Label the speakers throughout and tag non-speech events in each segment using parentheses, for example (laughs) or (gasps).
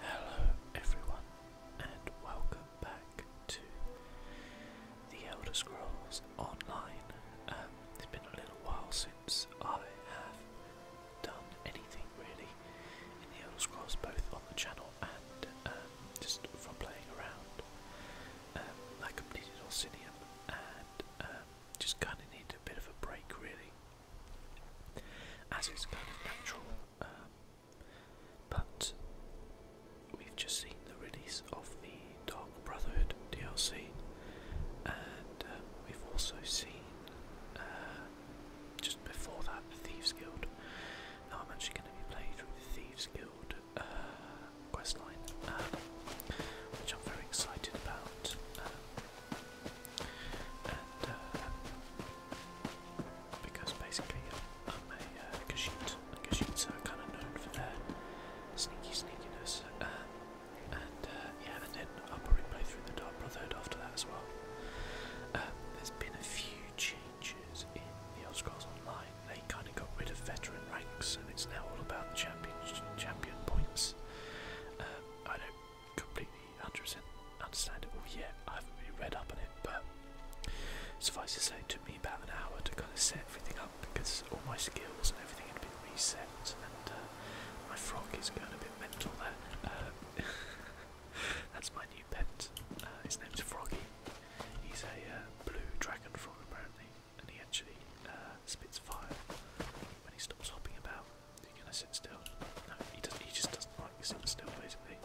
Speaker 1: Hello, everyone, and welcome back to The Elder Scrolls Online. Um, it's been a little while since I have done anything really in The Elder Scrolls, both on the channel and um, just from playing around. I completed Obsidian and um, just kind of needed a bit of a break, really as is kind of natural. Um, but we've just seen the release of the Dark Brotherhood DLC, and um, we've also seen uh, just before that the Thieves Guild. Now I'm actually going to be playing through the Thieves Guild uh, questline, um, which I'm very excited about. And, uh, because basically I'm a uh, Kashyyyt, are kind of known for their sneaky sneakiness. Uh, and uh, yeah, and then I'll probably play through the Dark Brotherhood after that as well. Um, there's been a few changes in the Elder Scrolls Online. They kind of got rid of veteran ranks, and it's now all about champion, points. I don't completely understandable. Yeah, I haven't really read up on it, but suffice to say, it took me about an hour to kind of set everything up because all my skills and everything had been reset, and uh, my frog is going a bit mental there. Uh, (laughs) that's my new pet. Uh, his name's Froggy. He's a uh, blue dragon frog apparently, and he actually spits fire when he stops hopping about. He's he gonna sit still? No, he just doesn't like sitting still, basically.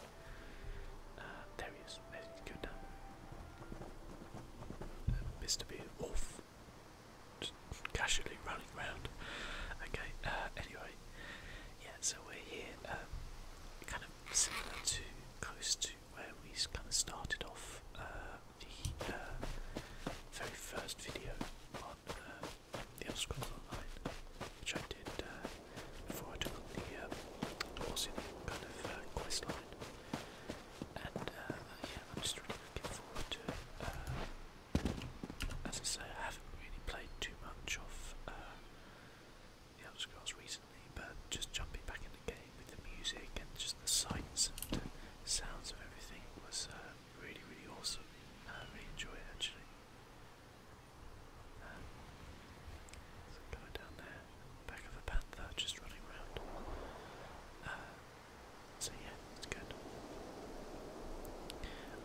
Speaker 1: Uh, there he is. There's down. Uh, Mr. Bean casually running around. Okay. Uh, anyway, yeah. So we're here, um, kind of similar to close to where we kind of started off uh, the very first video the Elder Scrolls Online, which I did uh, before I took on the uh, um, awesome kind of uh, quest line. And uh, yeah, I'm just really looking forward to it. as I say, I haven't really played too much of the Elder recently, but just jumping back in the game with the music and just the sights and sounds of everything was really, really awesome. I really enjoyed it actually. Um, there's down there, back of a panther, just running around. Uh, so yeah, it's good.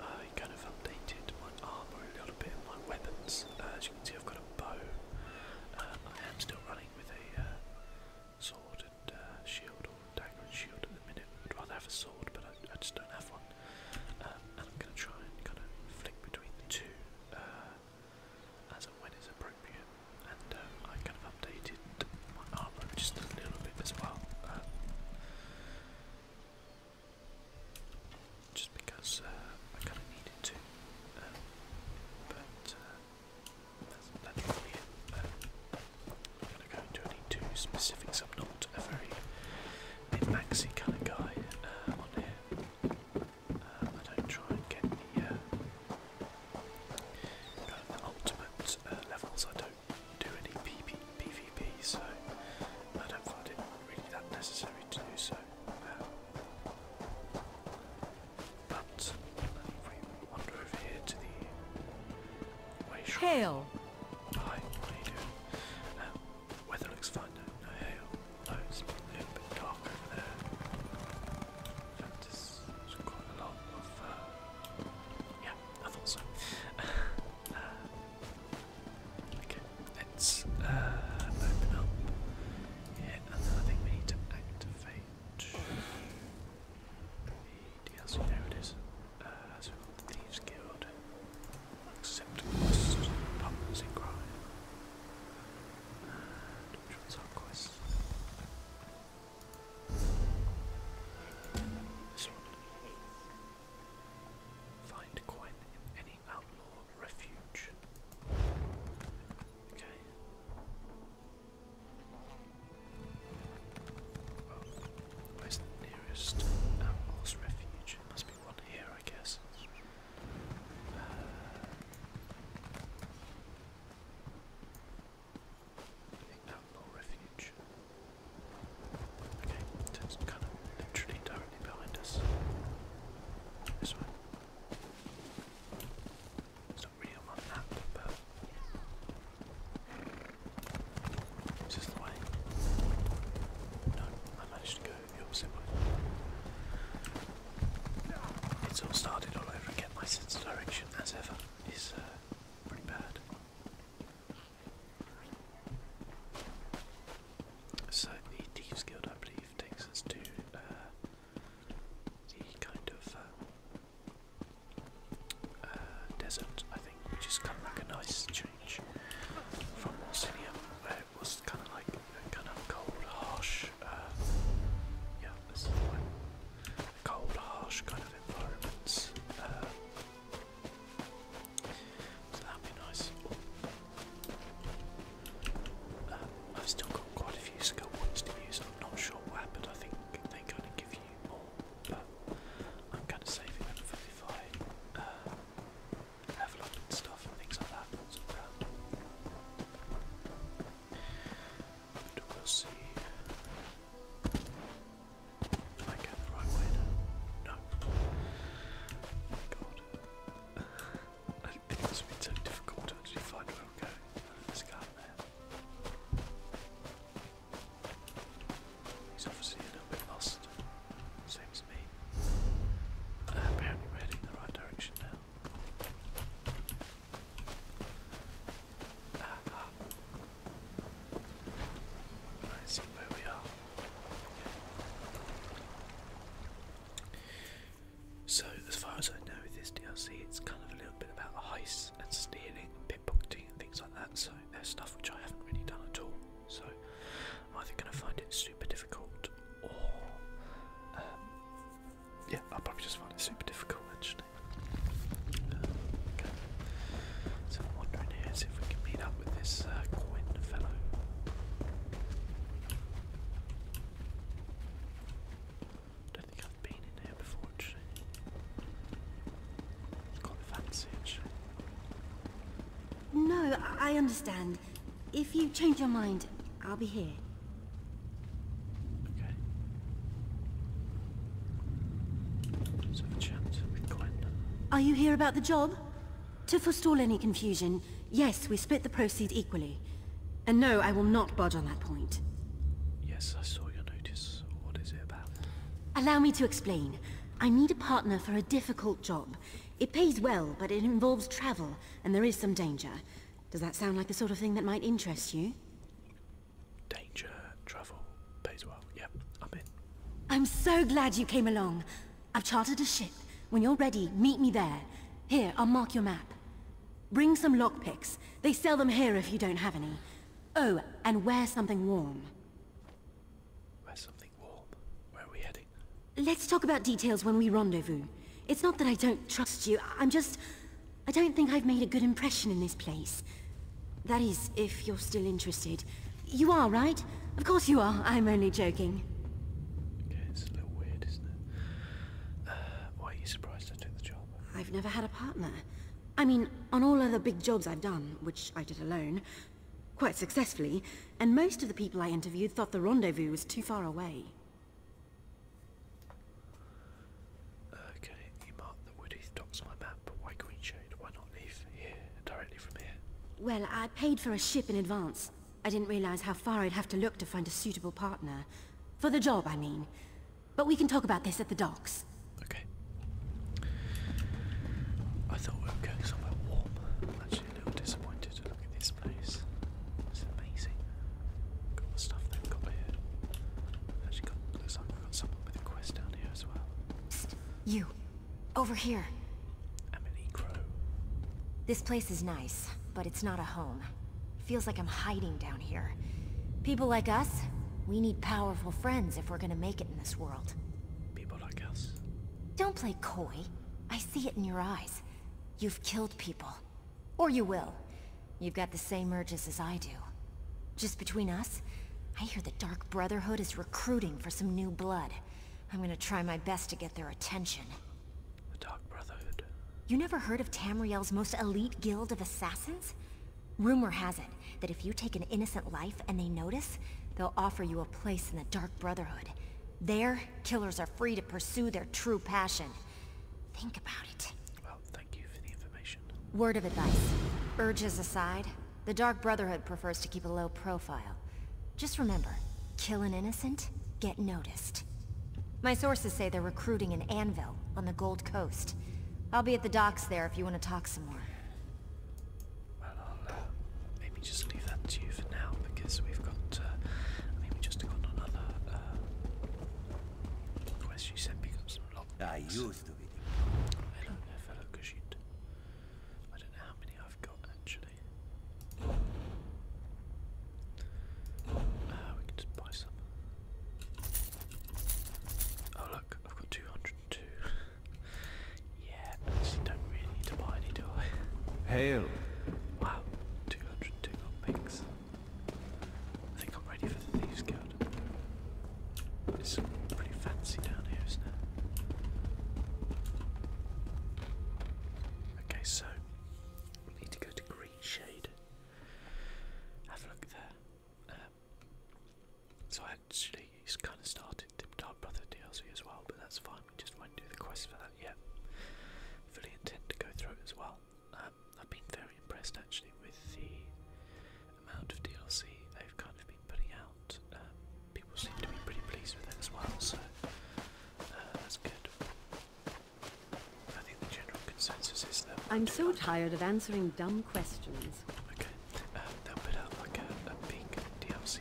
Speaker 1: I uh, kind of updated my armour a little bit, my weapons. Uh, as you can see, I've got a bow. I am still running with a sword and shield, or dagger and shield at the minute. would rather have a sword, but I just don't have one. Um, and I'm going to try and kind of flick between the two uh, as when is appropriate. And uh, I kind of updated my armor just a little bit as well. Uh, just because I kind of needed to. Um, but that's, that's it. Um, I'm going to go into any two specifics. I'm not a very min-maxy kind of guy um, on here. Um, I don't try and get the, uh, ultimate uh, levels. I don't do any PB, PvP, so I don't find it really that necessary to do so. Um, but if we wander over here to the Hail! Weather looks fine No hail. No, it's probably a bit dark over there. there's quite a lot of. Uh, yeah, (laughs) uh, okay, let's uh, open up here, and then I think we need to activate. The DLC, there it is. Uh, so the Thieves Guild. Accept quests, partners in crime. Uh, and our quest? This one. Find coin in any outlaw refuge. Okay. Well, where's the nearest outlaw's refuge? one here, I guess. Uh, okay, it's kind of literally directly behind us. This one. It's not really on my but is the way? No, I managed to go the opposite way. It's all started all over again. My sense of direction, as ever, is uh, pretty bad. So the Thieves Guild, I believe, takes us to uh, the kind of um, uh, desert, I think, which is kind of a nice, from Monsinium, where it was kind of like kind of cold, harsh, uh, yeah, cold, harsh kind of environments. Uh, so that'd be nice. Uh, I've still got quite a few skill points to use. I'm not sure what happened. I think they are going to give you more, but I'm kind of saving them for I uh, level up and stuff and things like that. So, we'll see. Am I going the right way No. Oh my god. (laughs) I didn't think this would be so difficult to actually find where I'm going. Let's go there. He's obviously a little bit lost, same as me. apparently we're heading in the right direction now. Ah, ah. see where we are. So, as far as I know, with this DLC, it's kind of a little bit about heists and stealing and pickpocketing and things like that. So, there's stuff which I haven't really done at all. So I'm either going to find it super difficult or. Um, yeah, i probably just find it super difficult actually. So I'm wondering here is if we can meet up with this uh, fellow. don't think I've been in here before actually. It's quite fancy actually.
Speaker 2: No, I understand. If you change your mind, I'll be here. Okay. Are you here about the job? To forestall any confusion, yes, we split the proceeds equally. And no, I will not budge
Speaker 1: on that point. Yes, I saw your notice. What is it about?
Speaker 2: Allow me to explain. I need a partner for a difficult job. It pays well, but it involves travel, and there is some danger. Does that sound like the sort of thing that might interest you?
Speaker 1: Danger, travel, pays well. Yep, I'm in.
Speaker 2: I'm so glad you came along. I've chartered a ship. When you're ready, meet me there. Here, I'll mark your map. Bring some lockpicks. They sell them here if you don't have any. Oh, and wear something warm. Where are we heading? Let's talk about details when we rendezvous. It's not that I don't trust you, I'm just... I don't think I've made a good impression in this place. That is, if you're still interested. You are, right? Of course you are, I'm only joking.
Speaker 1: Okay, it's a little weird, isn't it? Uh, why are you surprised I took the job? I've never had a partner.
Speaker 2: I mean, on all other big jobs I've done, which I did alone, quite successfully, and most of the people I interviewed thought the rendezvous was too far away.
Speaker 1: Okay, you mark the woody docks my map, but why Greenshade? Why not leave here, directly from here?
Speaker 2: Well, I paid for a ship in advance. I didn't realize how far I'd have to look to find a suitable partner. For the job, I mean. But we can talk about this at
Speaker 1: the docks. Okay. I thought we were going somewhere warm a little disappointed to look at this place. It's amazing. Got the stuff they've got here. actually looks like we got someone with a quest down here as well.
Speaker 3: You over here. Emily Crow. This place is nice, but it's not a home. Feels like I'm hiding down here. People like us, we need powerful friends if we're gonna make it in this world.
Speaker 1: People like us.
Speaker 3: Don't play coy. I see it in your eyes. You've killed people. Or you will. You've got the same urges as I do. Just between us, I hear the Dark Brotherhood is recruiting for some new blood. I'm gonna try my best to get their attention.
Speaker 1: The Dark Brotherhood.
Speaker 3: You never heard of Tamriel's most elite guild of assassins? Rumor has it that if you take an innocent life and they notice, they'll offer you a place in the Dark Brotherhood, there, killers are free to pursue their true passion. Think about it. Well, thank you for the information. Word of advice. Urges aside, the Dark Brotherhood prefers to keep a low profile. Just remember, kill an innocent, get noticed. My sources say they're recruiting in Anvil on the Gold Coast. I'll be at the docks there if you want to talk some more.
Speaker 1: Well, i uh, maybe just leave that to you for now because we've got. Uh, just got another uh, request. You sent me some log. I used to be. Hello there, fellow Kushit. I don't know how many I've got actually. Uh, we can just buy some. Oh look, I've got two hundred and two. Yeah, actually don't really need to buy any, do I? Hail! Wow, 202 gold I think I'm ready for the Thieves Guild. It's pretty fancy down here, isn't it? Okay, so we need to go to Green Shade. Have a look there. Um, so I actually kind of started Tip Top Brother DLC as well, but that's fine we just won't do the quest for that yet. Fully intend to go through it as well. Um, I've been very impressed actually with the amount of DLC they've kind of been putting out. Um, people seem to be pretty pleased with it as well, so uh, that's good. I think the general consensus is that.
Speaker 4: I'm so tired of
Speaker 2: answering dumb questions.
Speaker 1: Okay, um, they'll put out like a big DLC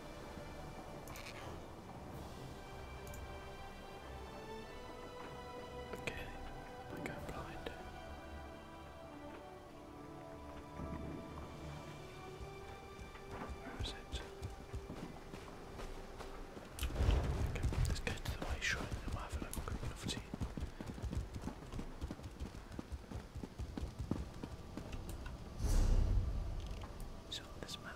Speaker 2: Okay, I go blind.
Speaker 1: Where is it? let's go to the way shot and have a look. We'll see. So this map.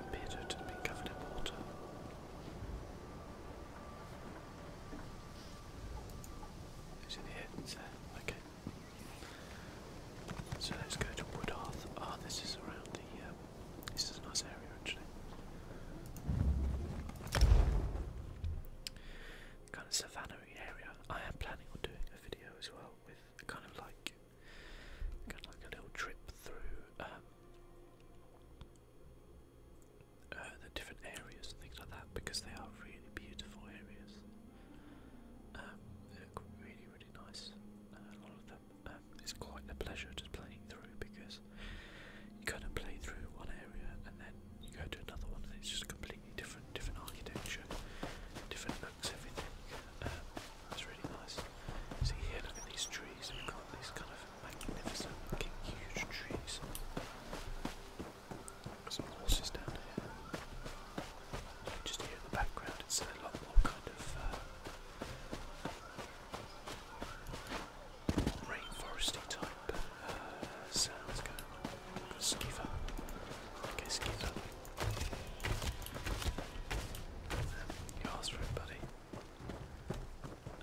Speaker 1: Appeared to been covered in water. Is it here? Okay. So let's go to Woodhearth. Ah, this is around the uh, this is a nice area actually. Kind of savannah area. I am planning on doing a video as well with kind of like like a little trip through um, uh, the different areas and things like that because they are really beautiful areas. Um, they look really, really nice. Uh, of them. Um, it's quite a pleasure just playing through because you kind of play through one area and then you go to another one and it's just completely different, different architecture, different looks, everything. it's um, really nice. See here, look at these trees. We've got these kind of magnificent, looking, huge trees. some horses down here. just in the background. It's a lot more kind of. Uh, Rainforesty type uh, sounds going on. We've got Skiver. Okay, Skiver. Um, you asked for it, buddy.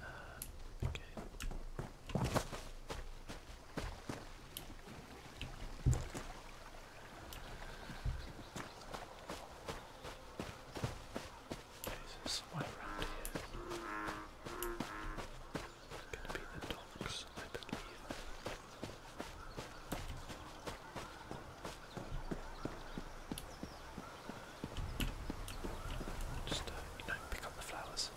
Speaker 1: Uh, okay. There's some way around here. Just, uh, you know, pick up the flowers.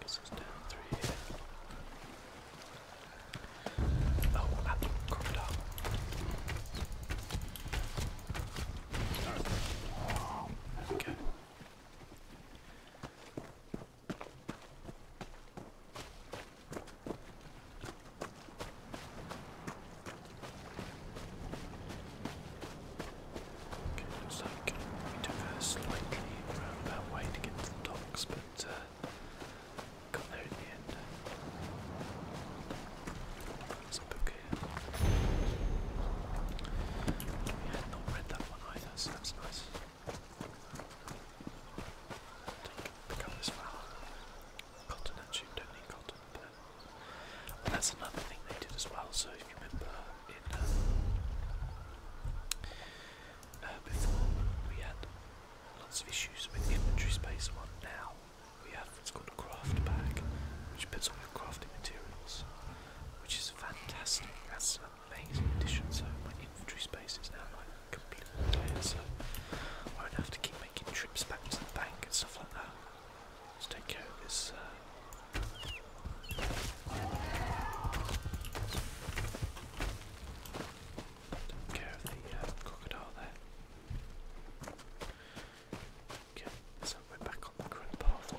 Speaker 1: This is down through here. Oh, at the corridor. Oh, there we go. Okay, we took a slightly roundabout way to get to the docks, but got there in the end. There's book here. We had not read that one either, so that's nice. Pick up this flower. Cotton actually, don't need cotton, but that's another thing they did as well. So if you remember um, uh, before we had lots of issues with inventory space. One now we have what's called a craft bag, which puts all your crafting materials, which is fantastic. That's an amazing addition. So my inventory space is now like completely clear, so I won't have to keep making trips back to the bank and stuff like that. Let's take care of this. Uh, take care of the uh, crocodile there. Okay, so we're back on the current path now.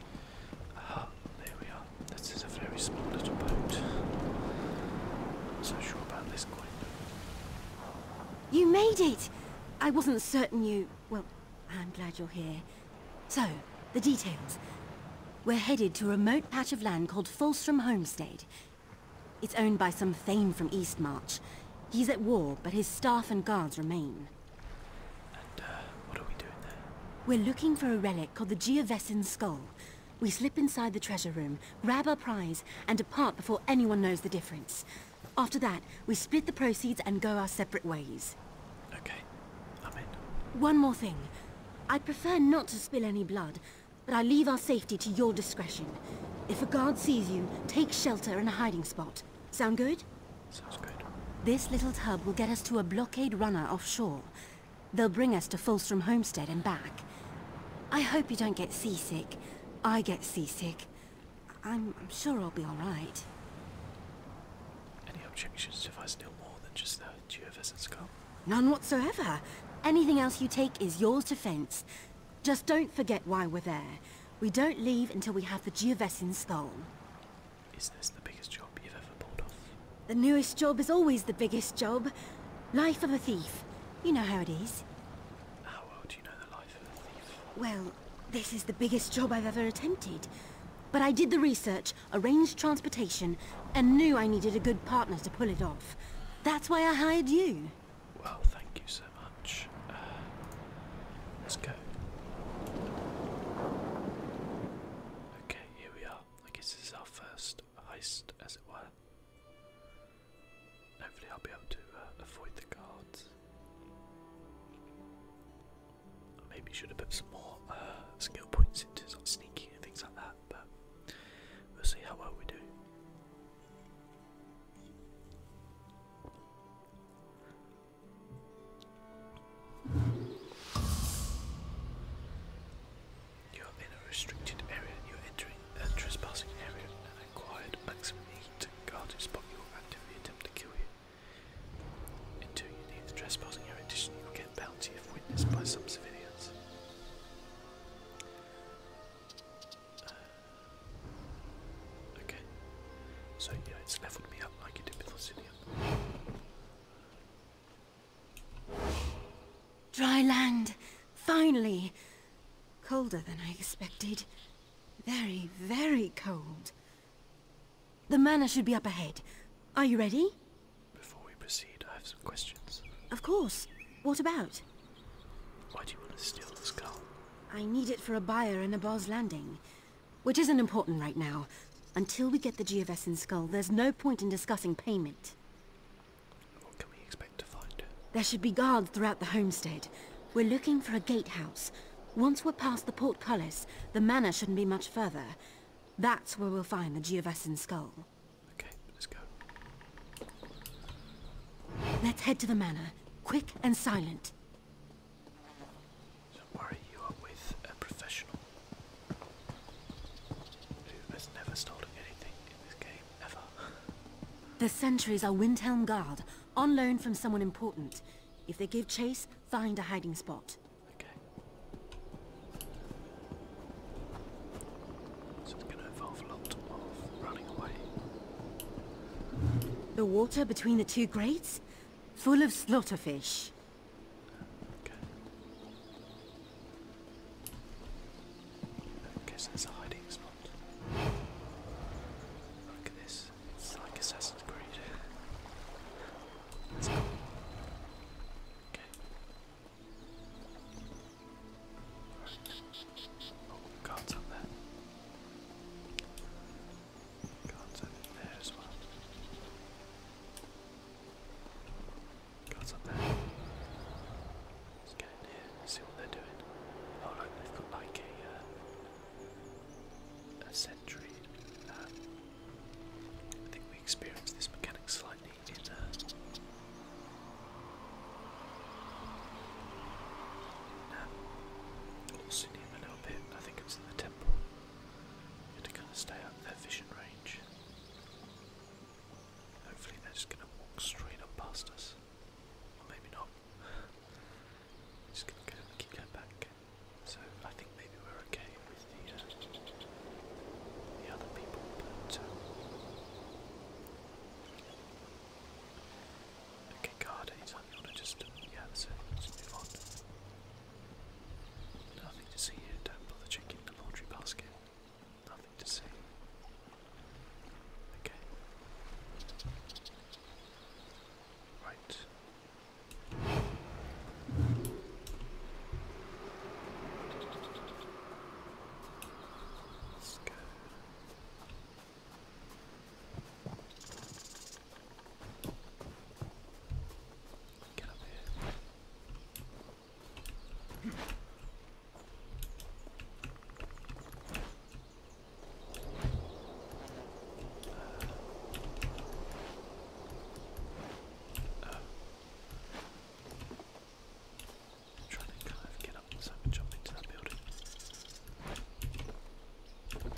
Speaker 1: Ah, this is a very small little boat. Not so sure about this coin.
Speaker 2: You made it! I wasn't certain you... Well, I'm glad you're here. So, the details. We're headed to a remote patch of land called Folstrom Homestead. It's owned by some thane from Eastmarch. He's at war, but his staff and guards remain. Uh, what are we doing there? We're looking for a relic called the Geovessin Skull. We slip inside the treasure room, grab our prize, and depart before anyone knows the difference. After that, we split the proceeds and go our separate ways. Okay, I'm in. One more thing. I'd prefer not to spill any blood, but I leave our safety to your discretion. If a guard sees you, take shelter in a hiding spot. Sound good? Sounds good. This little tub will get us to a blockade runner offshore. They'll bring us to Fulstrom Homestead and back. I hope you don't get seasick. I get seasick. I'm, sure I'll be alright.
Speaker 1: Any objections if I steal more than just the geovisit skull?
Speaker 2: None whatsoever. Anything else you take is yours to fence. Just don't forget why we're there. We don't leave until we have the Geovessin skull. Is this the biggest job you've ever pulled off? The newest job is always the biggest job. Life of a thief. You know how it is.
Speaker 1: How well do you know the life of a thief?
Speaker 2: Well, this is the biggest job I've ever attempted. But I did the research, arranged transportation, and knew I needed a good partner to pull it off. That's why I hired you.
Speaker 1: Well, thank you so much. Uh, Okay, here we are. I guess this is our first heist, as it were. Hopefully, I'll be able to uh, avoid the guards. maybe should have put some more uh, skill points into sneaking and things like that, but we'll see how well we do. You are in a restricted area. You are entering a trespassing area and acquired maximum heat. spot you will actively attempt to kill you. Until you leave the trespassing area, addition, you will get bounty if witnessed by some civilians. Uh, okay. So yeah, it's leveled me up like it did with Obsidian.
Speaker 2: Dry land, finally. Colder than I expected. Very, very cold. The manor should be up ahead. Are you ready?
Speaker 1: Before we proceed, I have some questions.
Speaker 2: Of course. What about?
Speaker 1: Why do you want to steal the skull?
Speaker 2: I need it for a buyer in a Boz Landing. Which isn't important right now. Until we get the GFS in Skull, there's no point in discussing payment. What can we expect to find? There should be guards throughout the homestead. We're looking for a gatehouse. Once we're past the portcullis, the manor shouldn't be much further. That's where we'll find the Geovesan skull.
Speaker 1: Okay, let's go. Let's head to
Speaker 2: the manor. Quick and silent.
Speaker 1: Don't worry, you are with a professional who has never stolen anything in this game, ever.
Speaker 2: the sentries are Windhelm Guard, on loan from someone important. If they give chase, find a hiding spot. Okay.
Speaker 1: So it's going to involve a lot of running away.
Speaker 2: The water between the two grates? Full of slaughterfish. Okay.
Speaker 1: I guess there's a hiding spot. Look at this. It's like Assassin's Creed. Let's go. Okay. Oh, guards up there. Got something there as well. Got something Let's get in here see what they're doing. Oh look, they've got like a, uh, a sentry. Um, I think we experienced this mechanic slightly in uh, um, a little bit. I think it in the temple. You have to kind of stay out of their vision range. Hopefully they're just going to walk straight up past us. Or maybe not. (laughs) just going to keep going back. So I think maybe we're okay with the, uh, other people, but... Um, okay, guard anytime you want to just, um, yeah, that's move on. Nothing to see here. Don't bother checking the laundry basket. Nothing to see. Okay. Right. Let's go. Get up here. Uh, oh. I'm trying to kind of get up so I can jump into that building. There we go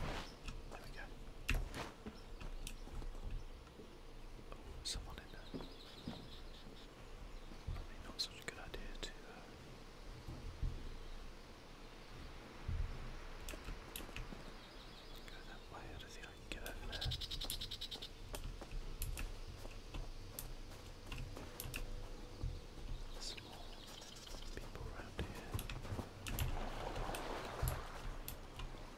Speaker 1: someone in there. Probably not such a good idea to. Uh, go that way, I don't think I can get over there. Some people around here.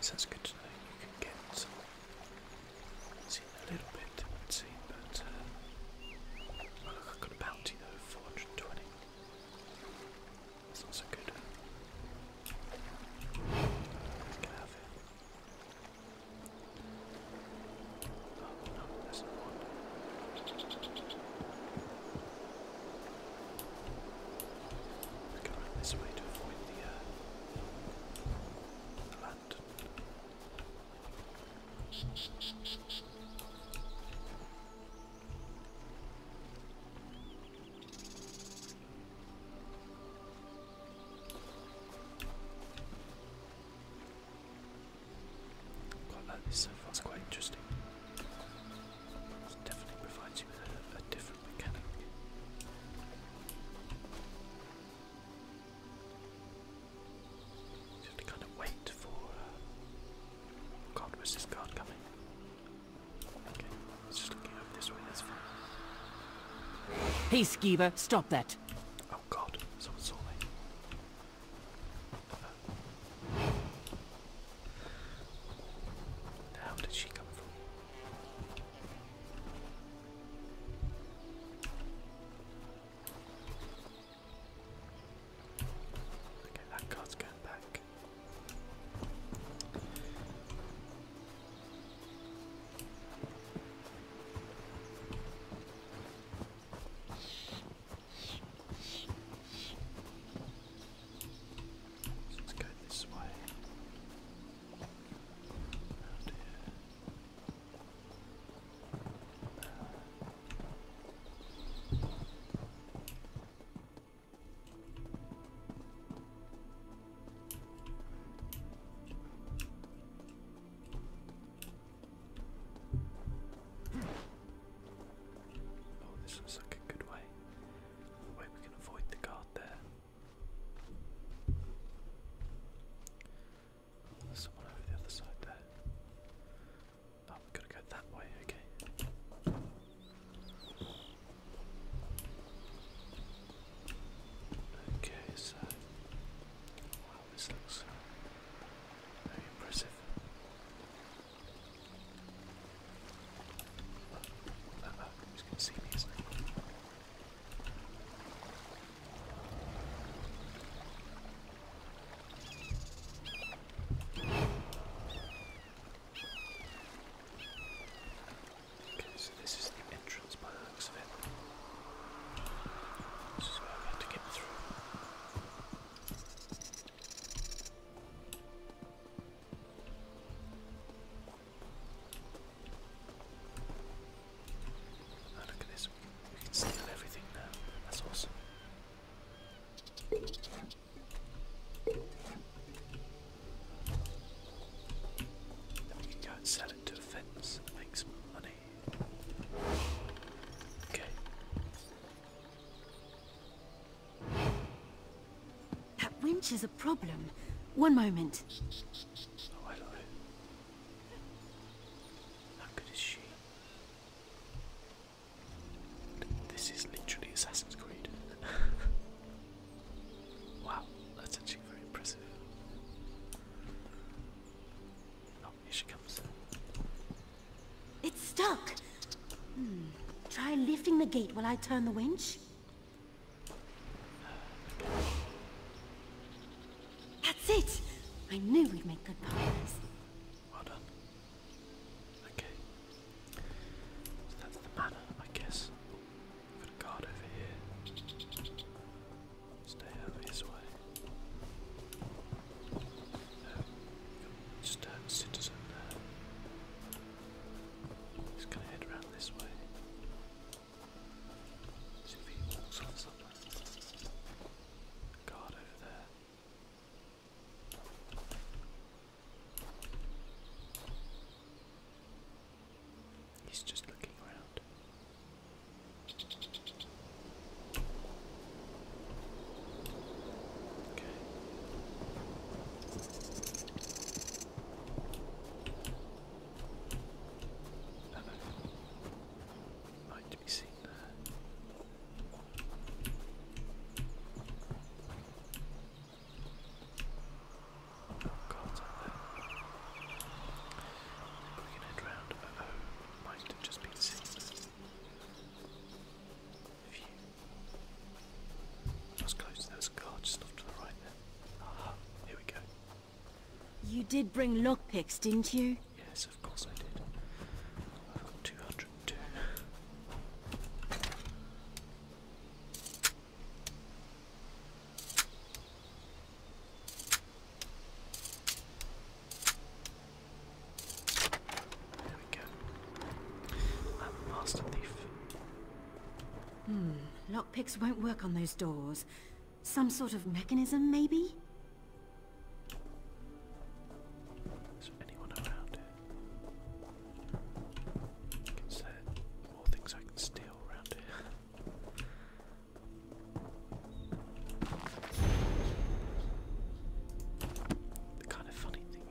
Speaker 1: So that's good to know you can get seen a little bit, it but uh, oh, i got a bounty though, 420. That's not good. We're going this way to avoid the, uh, the lantern. Quite it's quite interesting. definitely provides you with a, different mechanic. You have to kind of wait for. Uh, god, where's this guard coming? Okay, it's just looking over this way, that's fine.
Speaker 4: Hey, Skeever, stop that! Oh god, someone saw how did she come from?
Speaker 1: Okay, that card's going back. So let's go this way. Around here. Oh, this looks like a good way. Wait, we can avoid the guard there. someone over the other side there. Oh, we've got to go that way, okay. Okay, so. Wow, this looks very impressive. Uh oh, who's gonna see me is Okay, so this is the entrance by the looks of it. This is where I have to get through. Ah, look at this. We can steal everything now. That's awesome. we can go and sell it to a fence and make
Speaker 2: money. Okay. That winch is a problem. One moment.
Speaker 1: Oh, How good is she? This is literally Assassin's Creed. (laughs) wow, that's actually very impressive. Oh, here she comes.
Speaker 2: It's stuck. Hmm. Try lifting the gate while I turn the winch. That's it. I knew we'd make good partners. Well done.
Speaker 1: Okay. that's the manor, I guess. Got a guard over here. Stay over his way citizen He's gonna head round this way. See walks on something. Guard over there. He's just looking around. Okay. I don't know. Might to be seen there. Oh God, there. We can head round. Uh oh, might just be seen view. close, there was just off to the right there. here we go.
Speaker 2: You did bring lockpicks, didn't you?
Speaker 1: Yes, of course I did. I've got 202.
Speaker 2: Hmm. Lockpicks won't work on those doors. Some sort of mechanism, maybe?
Speaker 1: Is anyone around here? Is there things I can steal around here? (laughs) The kind of funny thing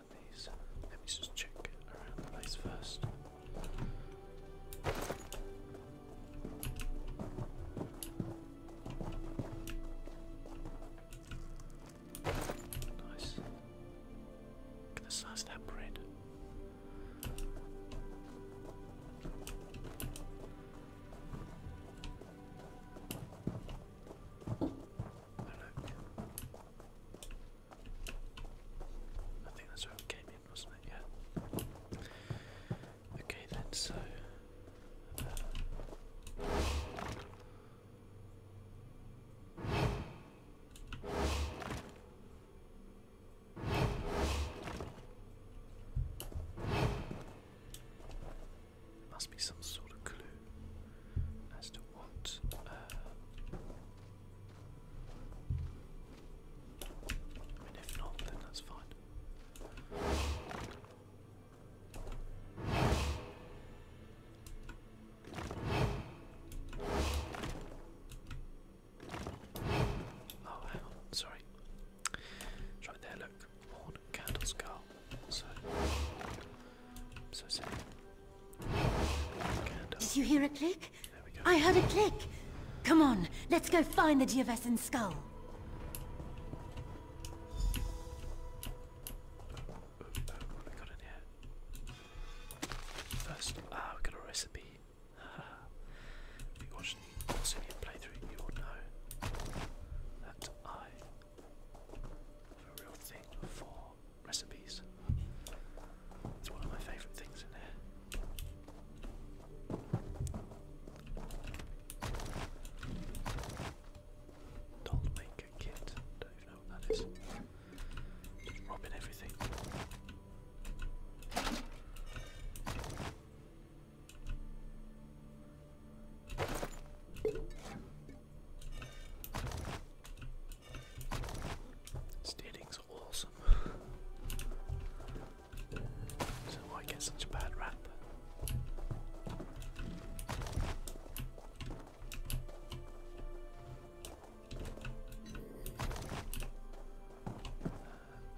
Speaker 1: Let me just check around the place first. Nice. Look at the that bread. I think that's where it came in, wasn't it? Yeah. Okay then, so. Uh, must be some sort of clue as to want. Uh, oh, hang sorry. right there, look. Horn, candle, skull. So, so simple.
Speaker 2: Did you hear a click? I heard a click. Come on, let's go find the Geovessan skull.
Speaker 1: First, ah, we got a recipe. (laughs) if you watched the Orsinian playthrough, you will know that I have a real thing for recipes. It's one of my favourite things in here. Doll kit. Don't even know what that is. Just robbing everything. Steering's awesome. why get such a bad rap?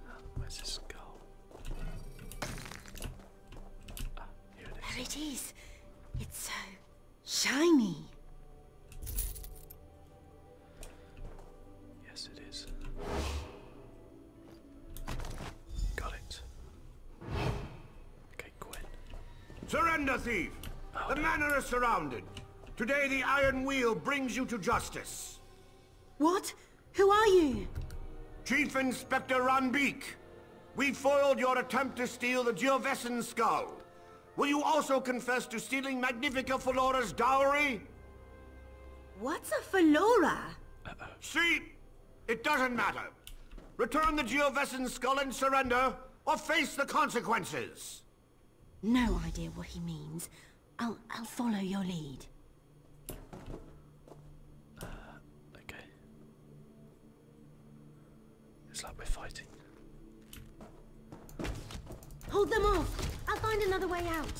Speaker 1: Uh, where's his skull?
Speaker 2: Ah, there it is. It's so Shiny.
Speaker 1: Yes,
Speaker 4: it is. Got it. Okay, Gwen. Surrender, thief! Oh, the manor is surrounded. Today the Iron Wheel brings you to justice. What? Who are you? Chief Inspector Ranbeek. We foiled your attempt to steal the Geovessin skull. Will you also confess to stealing Magnifica Felora's dowry? What's a Felora? See? It doesn't matter. Return the Geovessin skull and surrender, or face the consequences.
Speaker 2: No idea what he means. I'll, I'll follow your lead. Uh,
Speaker 1: okay. It's like we're fighting.
Speaker 2: Hold them off! I'll find another way out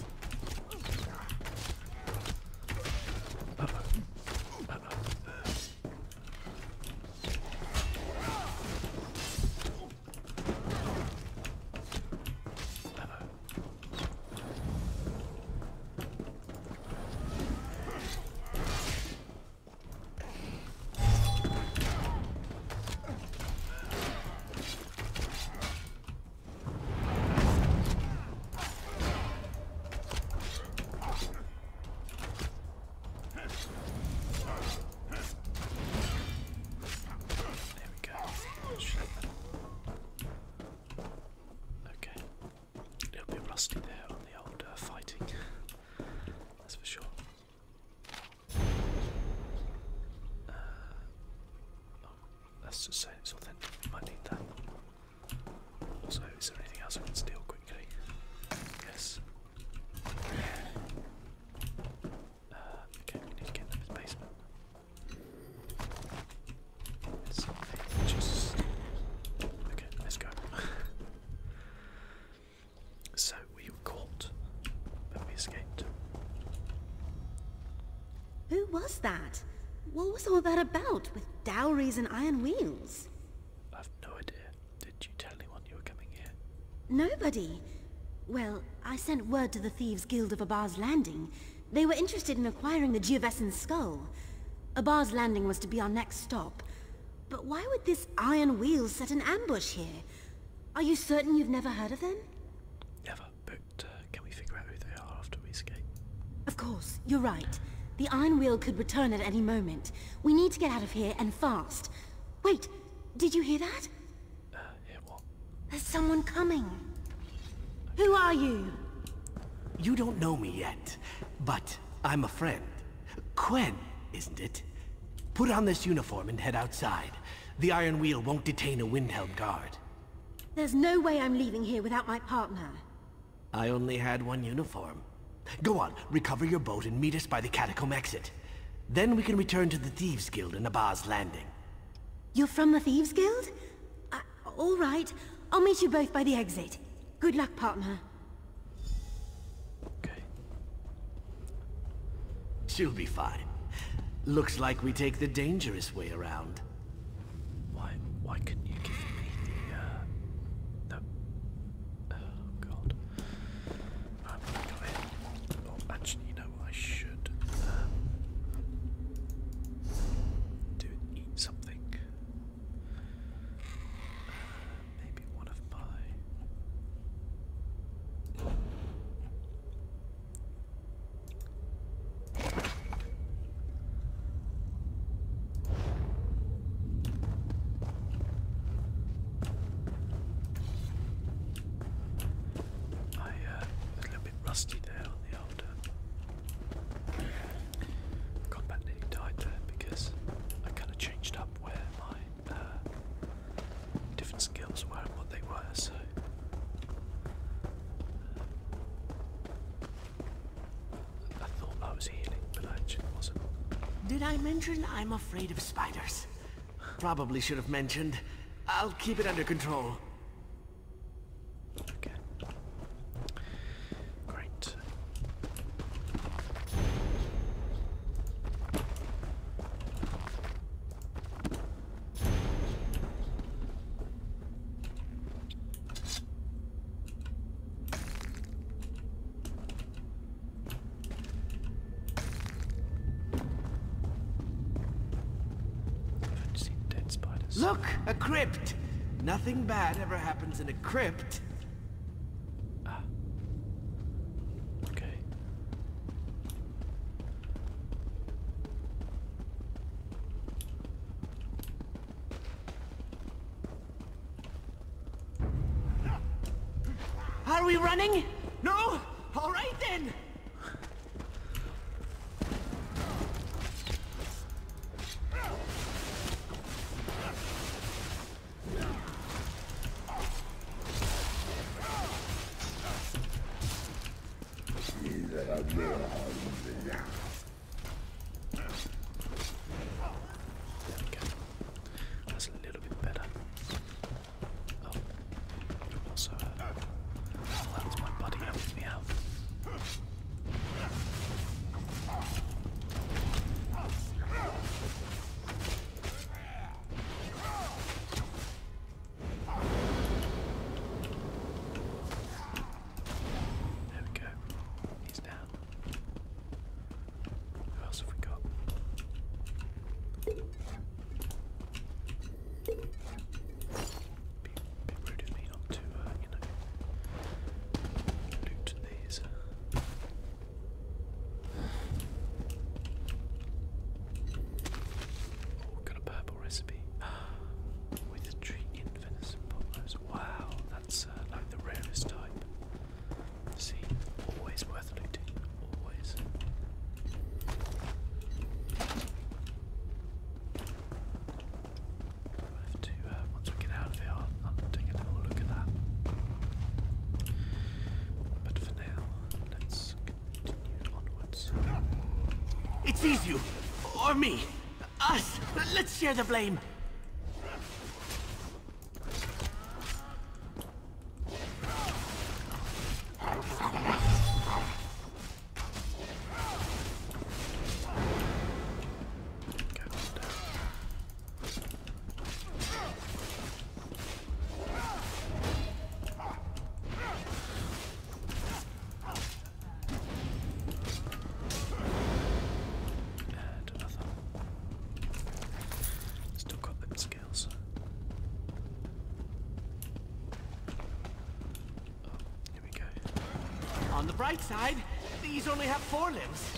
Speaker 1: we go. Okay. It'll be rusty there on the old uh, fighting, that's for sure. Let's uh, just say it's authentic. We might need that. Also, is there anything else we can steal quickly? Yes. Uh, okay, we need to get into this basement. It's just... Okay, let's go. (laughs) So we were caught, but we escaped.
Speaker 2: Who was that? What was all that about with dowries and iron wheels?
Speaker 1: I've no idea. Did you tell anyone you were coming here?
Speaker 2: Nobody. Well, I sent word to the Thieves Guild of Abar's Landing. They were interested in acquiring the Geovessan skull. Abar's Landing was to be our next stop. But why would this iron wheel set an ambush here? Are you certain you've never heard of them?
Speaker 1: Never, but uh, can we figure out who they are after we escape?
Speaker 2: Of course, you're right. The Iron Wheel could return at any moment. We need to get out of here, and fast. Wait, did you hear that? Uh, hear what? There's someone coming. Who are you?
Speaker 4: You don't know me yet, but I'm a friend. Quen, isn't it? Put on this uniform and head outside. The Iron Wheel won't detain a Windhelm guard.
Speaker 2: There's no way I'm leaving here without my partner.
Speaker 4: I only had one uniform. Go on, recover your boat and meet us by the catacomb exit. Then we can return to the Thieves Guild in Abbas Landing.
Speaker 2: You're from the Thieves Guild? Uh, all right. I'll meet you both by the exit. Good luck, partner. Okay.
Speaker 4: She'll be fine. Looks like we take the dangerous way around. Why, why couldn't you give me
Speaker 1: the, uh, oh god. actually, you I should, um, do eat something. Uh, maybe I uh, a little bit rusty there on the older combat nearly died there because I kind of changed up where my uh, different skills were and what they were, so.
Speaker 4: I thought I was healing, but I actually wasn't. Did I mention I'm afraid of spiders? Probably should have mentioned. I'll keep it under control. Okay. Great. Look, a crypt. Nothing bad ever happens in a crypt. Ah. Okay. Are we running? No? All right then!
Speaker 1: There we go. That's a little bit better. Oh, also uh, allows my buddy helping me out. There we go. He's down. Who else have we got? Be, be rude of me not to, uh, you know, loot these. Uh, got a purple recipe. (gasps) With a venison potatoes. Wow, that's uh, like the rarest type. See, always worth looting. Always. have to, uh, once we get out of here, I'll,
Speaker 4: take a little look at that. But for now, let's it's easy for me! Us! Let's share the blame!
Speaker 1: another. Still got them skills.
Speaker 4: Oh, here we go. On the bright side, these only have four limbs.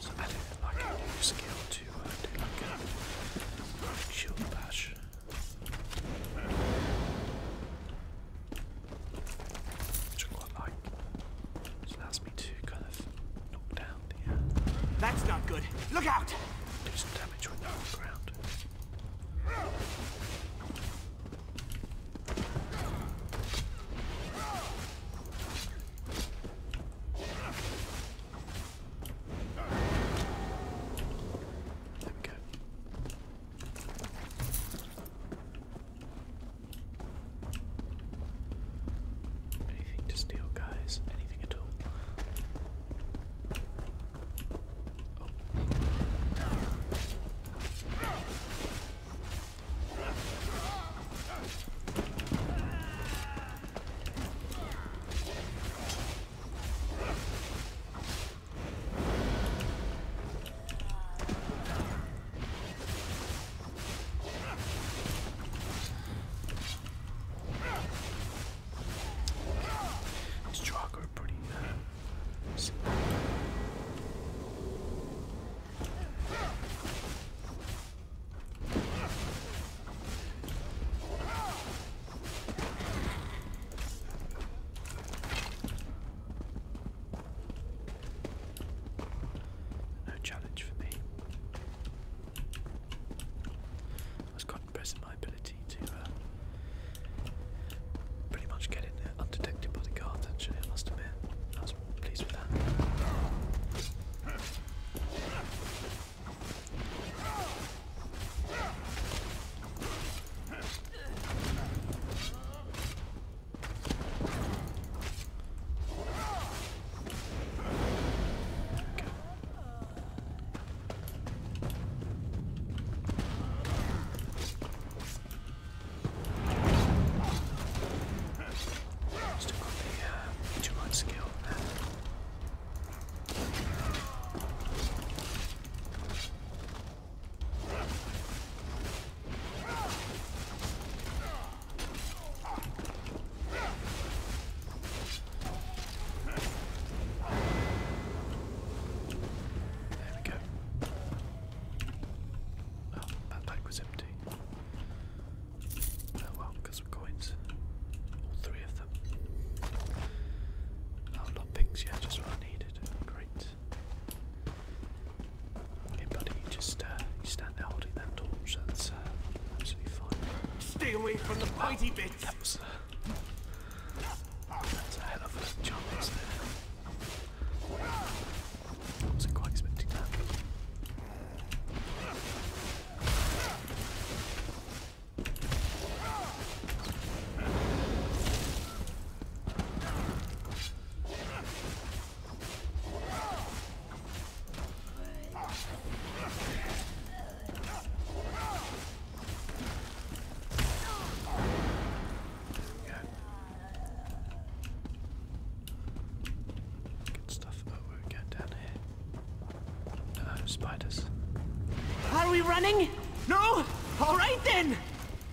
Speaker 1: So I didn't like a new skill to uh, do like a shield bash. Which I quite like. It allows me to kind of knock down the. Uh, That's not good. Look out! Do some damage when they're on There we go. Anything to steal, guys? Anything at all? Oh. These chalk are pretty uh, simple. No challenge for me. I was quite impressed with my ability to uh, pretty much get in there undetected by the guards, actually, I must admit. I was pleased with that. Let's do the uh, two month skill. There we go. Oh, that bag was empty. Oh well, we've got All three of them. not oh, pings yet, just what I needed. Great. Hey buddy, just uh, you stand there holding that torch, that's uh, absolutely fine.
Speaker 4: Stay away from the mighty bits! that was uh, a, hell of a jump, wasn't quite expecting that.
Speaker 1: Good stuff. we're going down here. No, uh, spiders.
Speaker 4: Are we running? No? Alright then!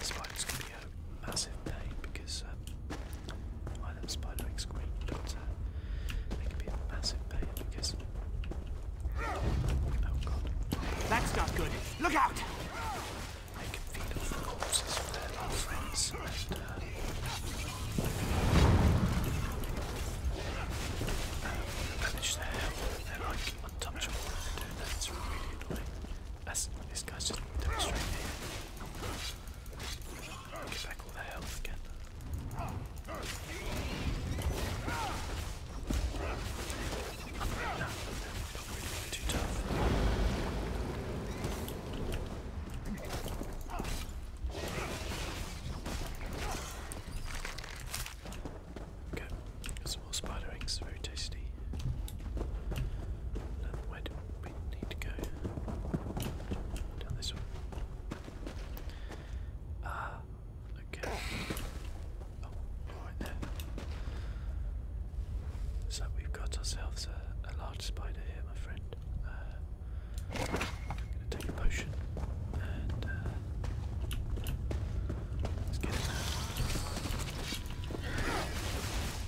Speaker 1: Spiders can be a massive pain because um, spider wing screen, but uh, be a massive pain because. Oh god. That's not good.
Speaker 4: Look out! They
Speaker 1: can feed off corpses of their little friends and. Uh, um, manage their untouchable when really annoying. That's, These guy's just want to straight here. Get back all their health again. too tough. Okay, more spider eggs, very tasty. Um, where do we need to go? Down this one. Ah, okay. Oh, right there. So we've got ourselves a, large spider here, my friend. Uh, going to take a potion and uh, let's get it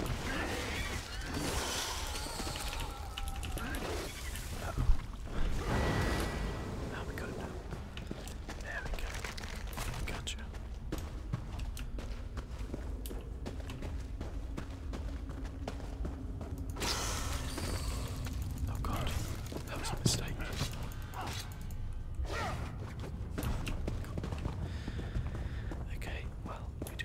Speaker 1: Uh-oh. Now we got it now. There we go. Gotcha. Oh god, that was a mistake. Okay, well,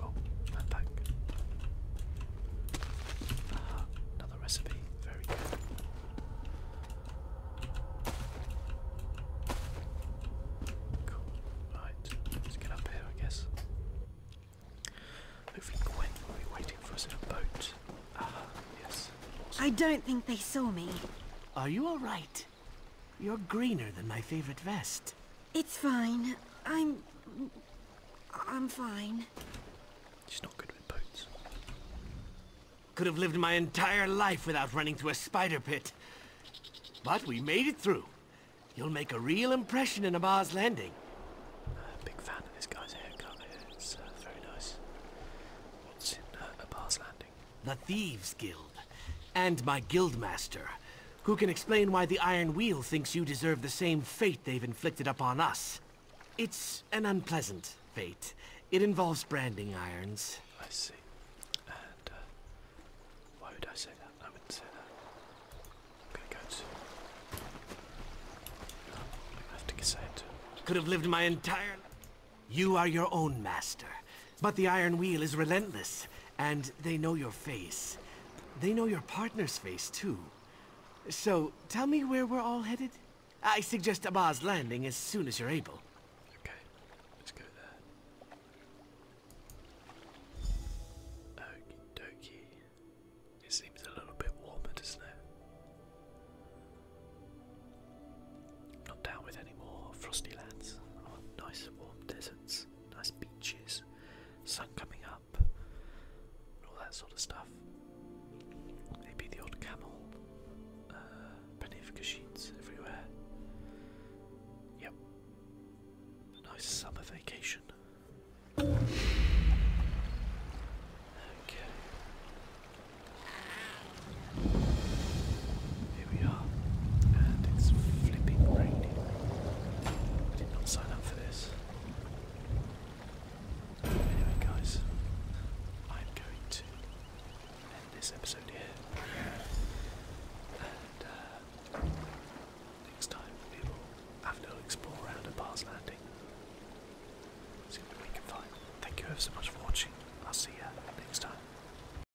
Speaker 1: Oh, back. Uh-huh. another recipe. Very good. Cool. Right, let's get up here, I guess. Hopefully Gwen will be waiting for us in a boat.
Speaker 4: Aha,
Speaker 2: yes. I don't think they saw me.
Speaker 4: Are you alright? You're greener than my favorite vest.
Speaker 2: It's fine. I'm... I'm fine.
Speaker 4: She's not good with boots. Could have lived my entire life without running through a spider pit. But we made it through. You'll make a real impression in a Mars landing.
Speaker 1: Uh, big fan of this guy's haircut. It's uh, very nice. What's in uh, a Mars landing?
Speaker 4: The Thieves Guild. And my guildmaster, who can explain why the Iron Wheel thinks you deserve the same fate they've inflicted upon us. It's an unpleasant fate. It involves branding irons.
Speaker 1: I see. And, uh, why would I say that? I wouldn't say that. I'm gonna go to...
Speaker 4: I have to say it. Could have lived my entire... You are your own master. But the Iron Wheel is relentless, and they know your face. They know your partner's face, too. So, tell me where we're all headed? I suggest Abbas landing as soon as you're able. Okay, let's go there. Okie dokie.
Speaker 1: It seems a little bit warmer, doesn't it? not down with any more frosty lands. Oh, nice warm deserts, nice beaches, sun coming up, all that sort of stuff. Maybe the old camel, uh, sheets everywhere. Yep. nice summer vacation. Here we are, and it's flipping raining. I did not sign up for this. Anyway, guys, I'm going to end this episode here. And uh, next time we will have explore around Landing. See what we can find. Thank you ever so much for watching. I'll see you next time.